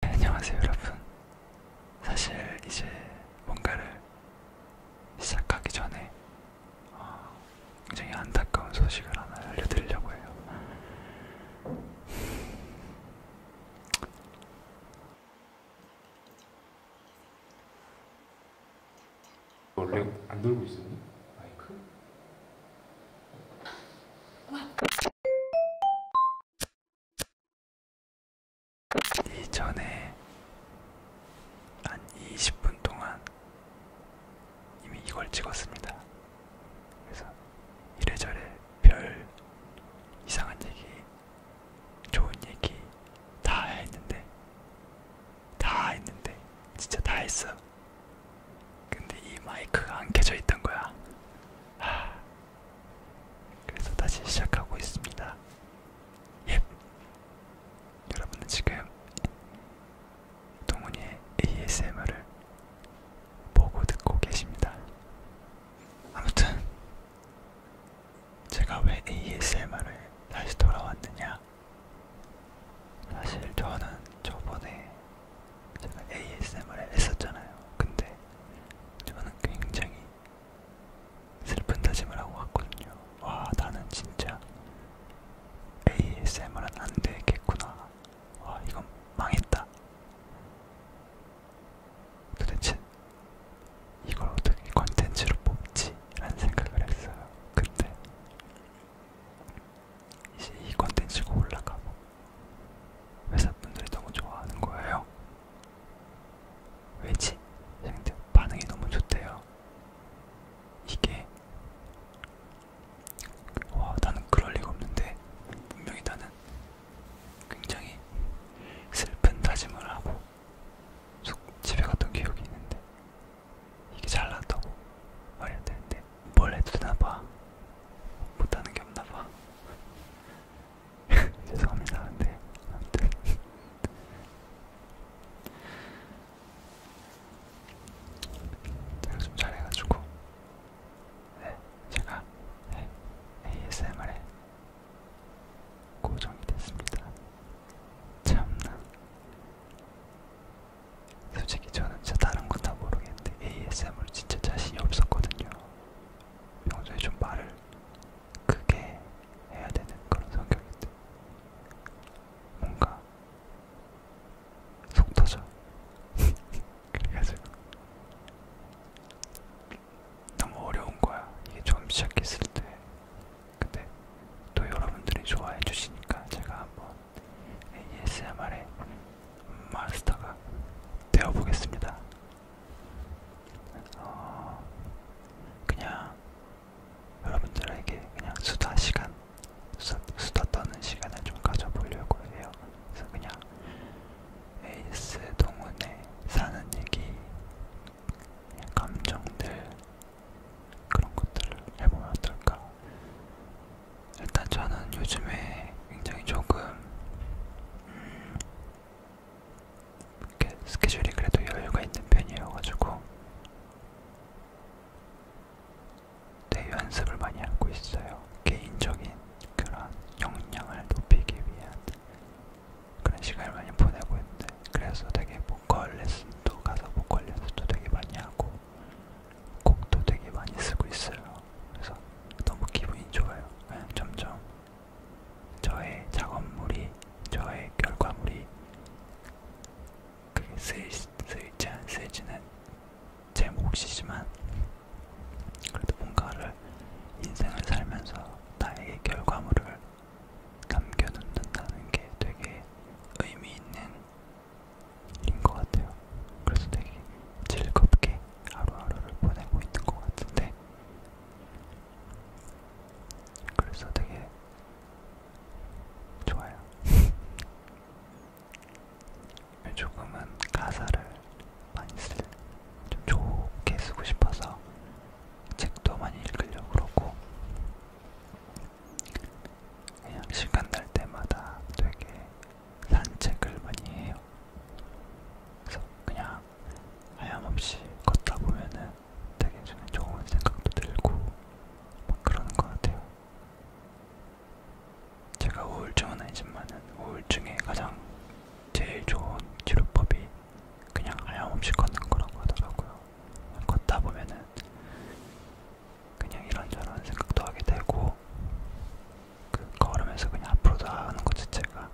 네, 안녕하세요 여러분 사실 이제 뭔가를 시작하기 전에 어, 굉장히 안타까운 소식을 하나 알려드리려고 해요 원래 안 돌고 있었니? 마이크? 이전에 한 20분 동안 이미 이걸 찍었습니다. 그래서 이래저래 별 이상한 얘기, 좋은 얘기 다 했는데, 다 했는데, 진짜 다 했어. 근데 이 마이크가 안 켜져 있던 거야. 하, 그래서 다시 시작하고 있습니다. 예. 여러분은 지금 동훈이의 ASMR을 보고 듣고 계십니다. 아무튼 제가 왜 ASMR을 다시 돌아왔느냐? 사실 저는 저번에 제가 ASMR을 했었잖아요. 근데 저는 굉장히 슬픈 다짐을 하고 왔거든요. 와, 나는 진짜 ASMR은 안 되겠구나. 와, 이건 망했다. 도대체 이걸 어떻게 컨텐츠로 뽑지? 라는 생각을 했어요. 근데 이제 이 컨텐츠가 올라가고 회사분들이 너무 좋아하는 거예요. 왜지? 근데 반응이 너무 좋대요. 이게 와 나는 그럴 리가 없는데 분명히 나는 굉장히 슬픈 다짐을 하고 속 집에 갔던 기억이 있는데 이게 잘났다고 말해야 되는데 뭘 해도 되나봐. 못하는 게 없나봐. 죄송합니다. 근데 아무튼 제가 좀 잘해가지고 네, 제가 네, ASMR에 고정이 됐습니다. 참나 솔직히 저는 진짜 다른 건 다 모르겠는데 ASMR 진짜 자신이 없었거든요. 평소에 좀 말을 크게 해야 되는 그런 성격인데 뭔가 속 터져. 그래가지고 너무 어려운 거야. 이게 처음 시작했을 때. 근데 또 여러분들이 좋아해 주시니까 제가 한번 ASMR의 마스터가 되어보겠습니다. 어, 그냥 여러분들에게 그냥 수다 시간, 수다, 수다 떠는 시간을 좀 가져보려고 해요. 그래서 그냥 에이스 동문에 사는 얘기, 감정들 그런 것들을 해보면 어떨까 일단 저는 요즘에 굉장히 조금 음, 이렇게 스케줄이 그래도 여유가 있는 편이어가지고 내 연습을 많이 하고 있어요. 개인적인 그런 역량을 높이기 위한 그런 시간을 많이 보내고 있는데 그래서 되게 보컬 레슨도 가서 보컬 레슨도 되게 많이 하고 곡도 되게 많이 쓰고 있어요. 그래서 너무 기분이 좋아요. 네, 점점 저의 작업물이, 저의 결과물이 그게 쓰일, 쓰일지 안 쓰일지는 제 몫이지만 그래도 뭔가를 인생을 살면서 나에게 결과물을 남겨놓는다는 게 되게 의미 있는 인것 같아요. 그래서 되게 즐겁게 하루하루를 보내고 있는 것 같은데, 그래서 되게 좋아요. 조금은 가사를 많이 쓸, 좀 좋게 쓰고 싶어서 책도 많이 읽으려고 그러고, 그냥 시간 날 때마다 되게 산책을 많이 해요. 그래서 그냥 하염없이 걷다 보면은 되게 저는 좋은 생각도 들고 막 그러는 것 같아요. 제가 우울증은 아니지만은 우울증에 가장 제일 좋은 치료법이 그냥 하염없이 걷는 거라고 하더라고요. 걷다 보면은 그냥 이런저런 생각도 하게 되고 그 걸으면서 그냥 앞으로 나아가는 것 자체가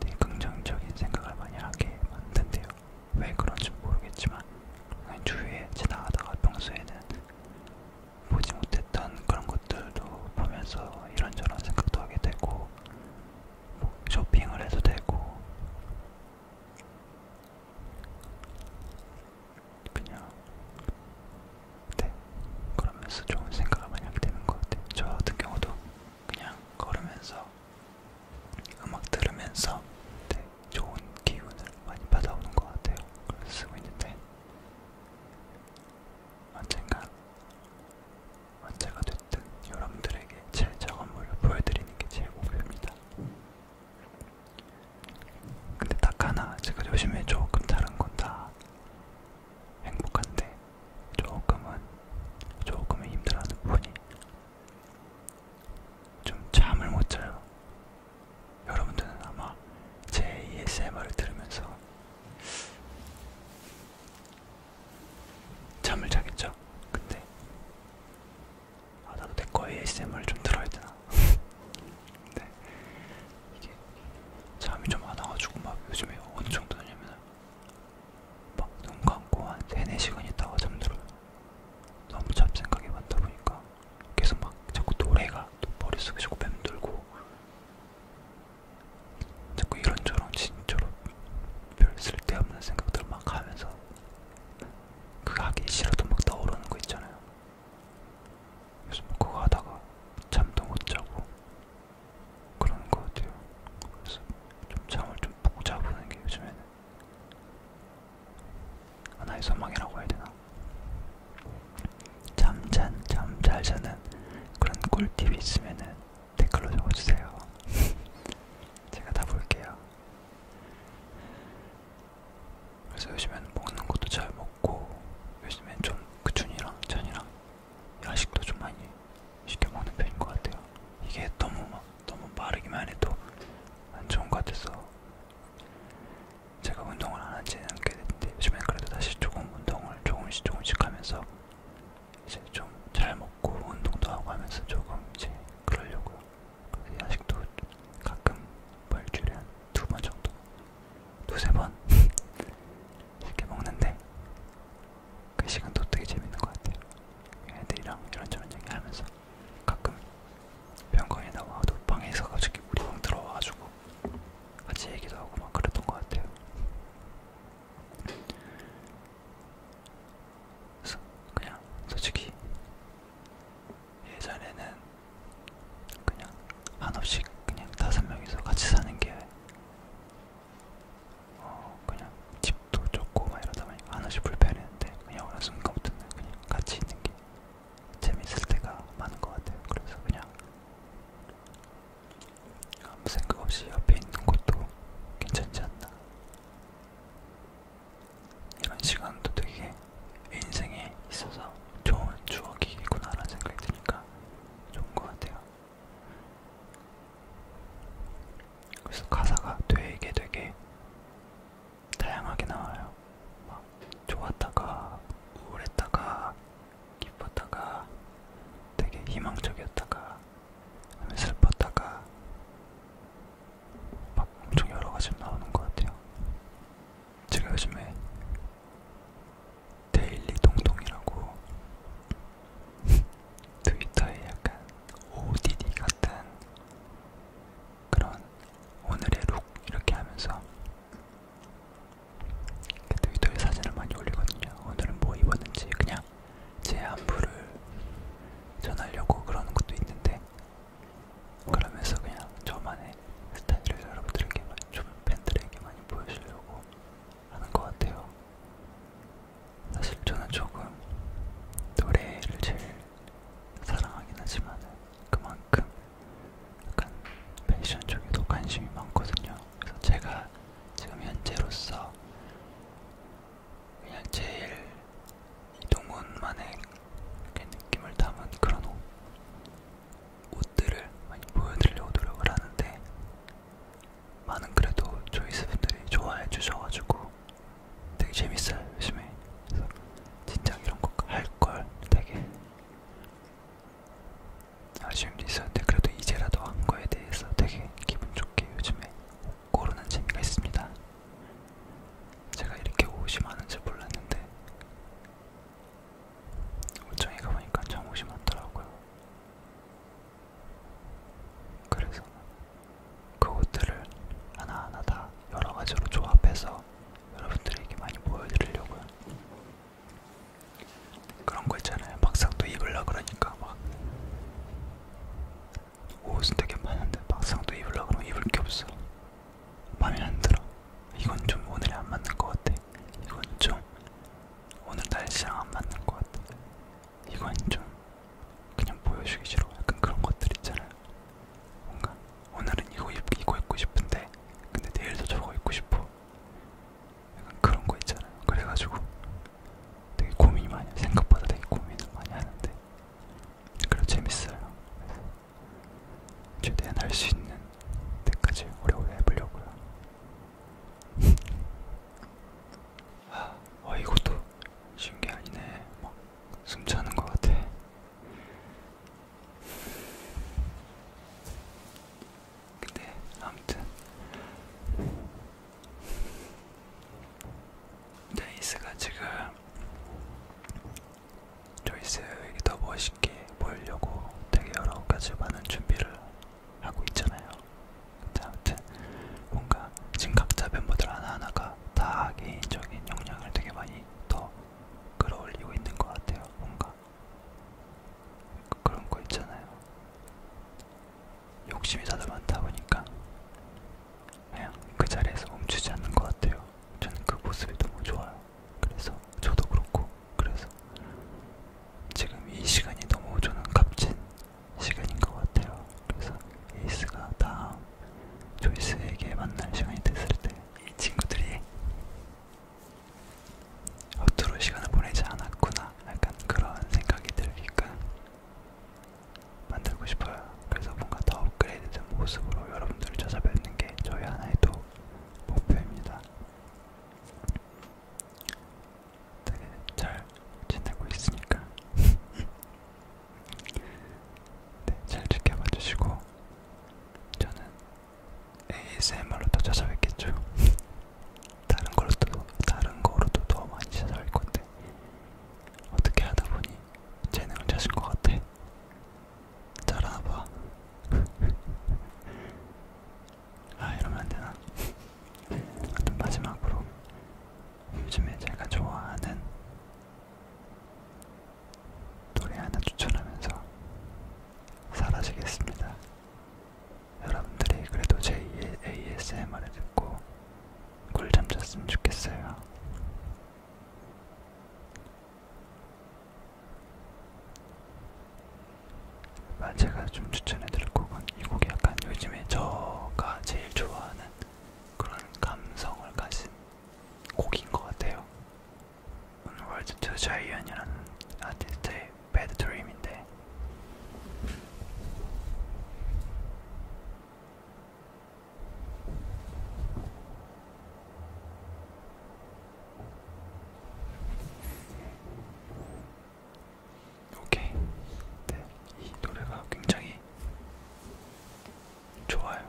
되게 긍정적인 생각을 많이 하게 만든대요. 왜 그런지 모르겠지만 그냥 주위에 지나가다가 평소에는 보지 못했던 그런 것들도 보면서 이런저런 생각도 하게 되고 뭐 쇼핑을 해도 되고 그냥 네 걸으면서 좋은 생각을 많이 하게 되는 것 같아요. 저 같은 경우도 그냥 걸으면서 음악 들으면서 네 좋은 기운을 많이 받아오는 것 같아요. 그래서 쓰고 있는데 언젠간 언제가 됐든 여러분들에게 제 작업물을 보여드리는 게 제 목표입니다. 근데 딱 하나 제가 요즘에 조금 다른 건다 행복한데 조금은 조금은 힘들어하는 부분이 좀 잠을 못 자요. 여러분들은 아마 제 ASMR을 들으면서 잠을 자겠죠? 근데 아 나도 내거 ASMR 좀 들어야 되나? 네. 이게 잠이 좀 안 와가지고 막 요즘에 어느 정도 되냐면 막 눈 감고 한 3, 4시간 있다가 잠들어요. 너무 잡생각이 많다 보니까 계속 막 자꾸 노래가 또 머릿속에 자꾸 맴돌고 자꾸 이런저런 진짜로 별 쓸데없는 생각들 막 하면서 그거 하기 싫어도 막 떠오르는 거 있잖아요. 그래서 뭐 그거 하다가 잠도 못 자고 그런 거 같아요. 그래서 좀 잠을 좀푹 자보는 게 요즘에는 하나의 소망이라고 해야 되나? 잠잔 잠잘 자는 그런 꿀팁이 있으면은 댓글로 적어주세요. 제가 다 볼게요. 그래서 요즘에는 먹는 것도 잘 먹고 요즘엔 좀 그춘이랑 찬이랑 야식도 좀 많이 시켜 먹는 편인 것 같아요. 이게 너무 막 너무 빠르기만 해도 안 좋은 것 같아서 제가 운동을 안 한지는 꽤 됐는데 요즘엔 그래도 다시 조금 운동을 조금씩 조금씩 하면서 이제 좀 잘 먹고 운동도 하고 하면서 조금 이제 그러려고요. 그래서 야식도 가끔 뭐 일주일에 한두 번 정도, 두세 번 이렇게 먹는데 그 시간도 되게 재밌는 것 같아요. 애들이랑 이런저런 얘기하면서 가끔 병원에 나와도 방에서 갑자기 우리 방 들어와가지고 같이 얘기도 하고 막 그랬던 것 같아요. 그래서 그냥 솔직히 예전에는 그냥 한없이 그냥 다섯 명이서 같이 사는 게 어, 그냥 집도 좁고 막 이러다 보니까 한없이 불편했는데 그냥 어느 순간부터는 그냥 같이 있는 게 재밌을 때가 많은 것 같아요. 그래서 그냥 아무 생각 없이 옆에 있는 것도 괜찮지 않나 이런 시간도 되게 인생에 있어서 좋은 추억이구나라는 생각이 드니까 좋은 것 같아요. 그래서 가사가 되게 되게 다양하게 나와요. 막 좋았다가 우울했다가 기뻤다가 되게 희망적이었다가 슬펐다가 막 엄청 여러 가지 나오는 것 같아요. 제가 요즘에 데일리 동동이라고 트위터에 약간 ODD 같은 그런 오늘의 룩 이렇게 하면서 트위터에 사진을 많이 올리거든요. 오늘은 뭐 입었는지 그냥 제 안부를 전하려고 그러는 것도 있는데 그러면서 그냥 저만의 스타일을 여러분들에게만, 주변 팬들에게 많이 보여주려고 하는 것 같아요. 사실 저는 조금 노래를 제일 사랑하긴 하지만 그만큼 약간 패션 쪽에도 관심이 많거든요. 그래서 제가 지금 현재로서 그냥 제일 이동훈만의 느낌을 담은 그런 옷, 옷들을 많이 보여드리려고 노력을 하는데 많은 그래도 조이스분들이 좋아해 주셔가지고 되게 재밌어요 요즘에 그래서 진짜 이런 거 할 걸 되게 아쉬움도 있었는데 그래도 이제라도 한 거에 대해서 되게 기분 좋게 요즘에 고르는 재미가 있습니다. 제가 이렇게 옷이 많은지 몰랐는데 옷장에 가보니까 참 옷이 많더라고요. 그래서 그 옷들을 하나하나 다 여러 가지로 조합해서 여러분들에게 많이 보여드리려고요. 그런 거 있잖아요. 막상 또 입으려 그러니까 막 옷은 되게 많은데 막상 또 입으려고 하면 입을 게 없어. 마음에 안 들어. 이건 좀 오늘이 안 맞는 것 같아. 이건 좀 오늘 날씨랑 안 맞는 것 같아. 이건 좀 그냥 보여주기 싫어. 약간 그런 것들 있잖아요. 뭔가 오늘은 이거 입, 이거 입고 싶은데 근데 내일도 저거 입고 싶어. 약간 그런 거 있잖아요. 그래가지고 되게 고민이 많이 생각보다 되게 고민을 많이 하는데 그래도 재밌어요. 최대한 할 수 있는 때까지 오래오래 해보려고요. 어, 이것도 쉬운 게 아니네. 막숨 차는 것 같아. 근데 아무튼 데이스가 지금 조이스에게 더 멋있게 보이려고 되게 여러 가지 많은 준비를 하고 있잖아요. 아무튼 뭔가 지금 각자 멤버들 하나하나가 다 개인적인 역량을 되게 많이 더 끌어올리고 있는 것 같아요. 뭔가 그런 거 있잖아요. 욕심이 다들 많다 보니까 그냥 그 자리에서 멈추지 않는 것 같아요. 저는 그 모습이 너무 좋아요. 그래서 저도 그렇고 그래서 지금 이 시간이 너무 저는 값진 시간인 것 같아요. 그래서 에이스가 다음 조이스에게 만날 시간이 됐을 때 이 친구들이 허투루 시간을 보내지 않았구나 약간 그런 생각이 들니까 만들고 싶어요. 그래서 뭔가 더 업그레이드된 모습으로 여러분들을 찾아뵙는 게 저희 하나의 또 목표입니다. 되게 잘 지내고 있으니까 네, 잘 지켜봐 주시고 저는 ASMR로 또 찾아뵙겠죠. 다른 걸로도 다른 거로도 더 많이 찾아올 건데 어떻게 하다 보니 재능을 찾은 것 같아. 잘하나 봐. 아 이러면 안 되나? 아무튼 마지막으로 요즘에 제가 좋아하는 노래 하나 추천하면서 사라지겠습니다. 여러분들이 그래도 제 ASMR을 듣고 꿀잠 잤으면 좋겠어요. 아, 제가 좀 추천해드릴 곡은 이 곡이 약간 요즘에 저가 제일 좋아하는 그런 감성을 가진 곡인 것 같아요. 월드 투 자이언이라는 아티스트의 Bad Dream인데 오케이. 네, 이 노래가 굉장히 좋아요.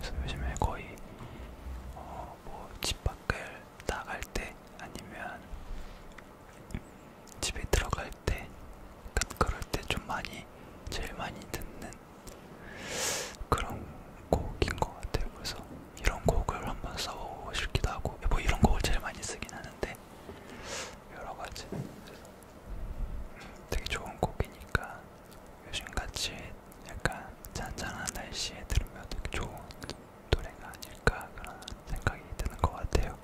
그래서 요즘에 거의 어, 뭐 집 밖을 나갈 때 아니면 집에 들어갈 때, 그러니까 그럴 때 좀 많이, 제일 많이 듣는 그런 곡인 것 같아요. 그래서 이런 곡을 한번 써보고 싶기도 하고, 뭐 이런 곡을 제일 많이 쓰긴 하는데, 여러 가지. 되게 좋은 곡이니까, 요즘같이 약간 잔잔한 날씨에 들으면 되게 좋은 노래가 아닐까 그런 생각이 드는 것 같아요.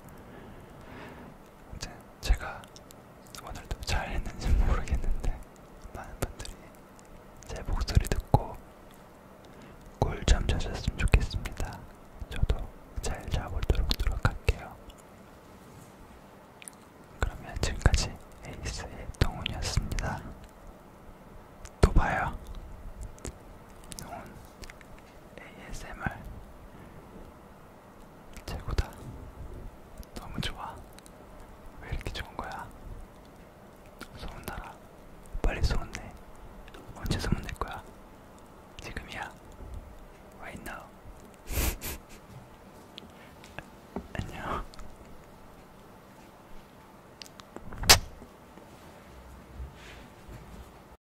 아무튼 제가 오늘도 잘했는지 모르겠는데 많은 분들이 제 목소리 듣고 꿀잠 자셨으면 좋겠습니다. 저도 잘 자보도록 노력할게요. 그러면 지금까지 에이스의 동훈이었습니다. 또 봐요. 동훈 ASMR 최고다. 너무 좋아. 왜 이렇게 좋은 거야? 소문나라. 빨리 소문내. 언제 소문낼 거야? 지금이야. Right now. 안녕.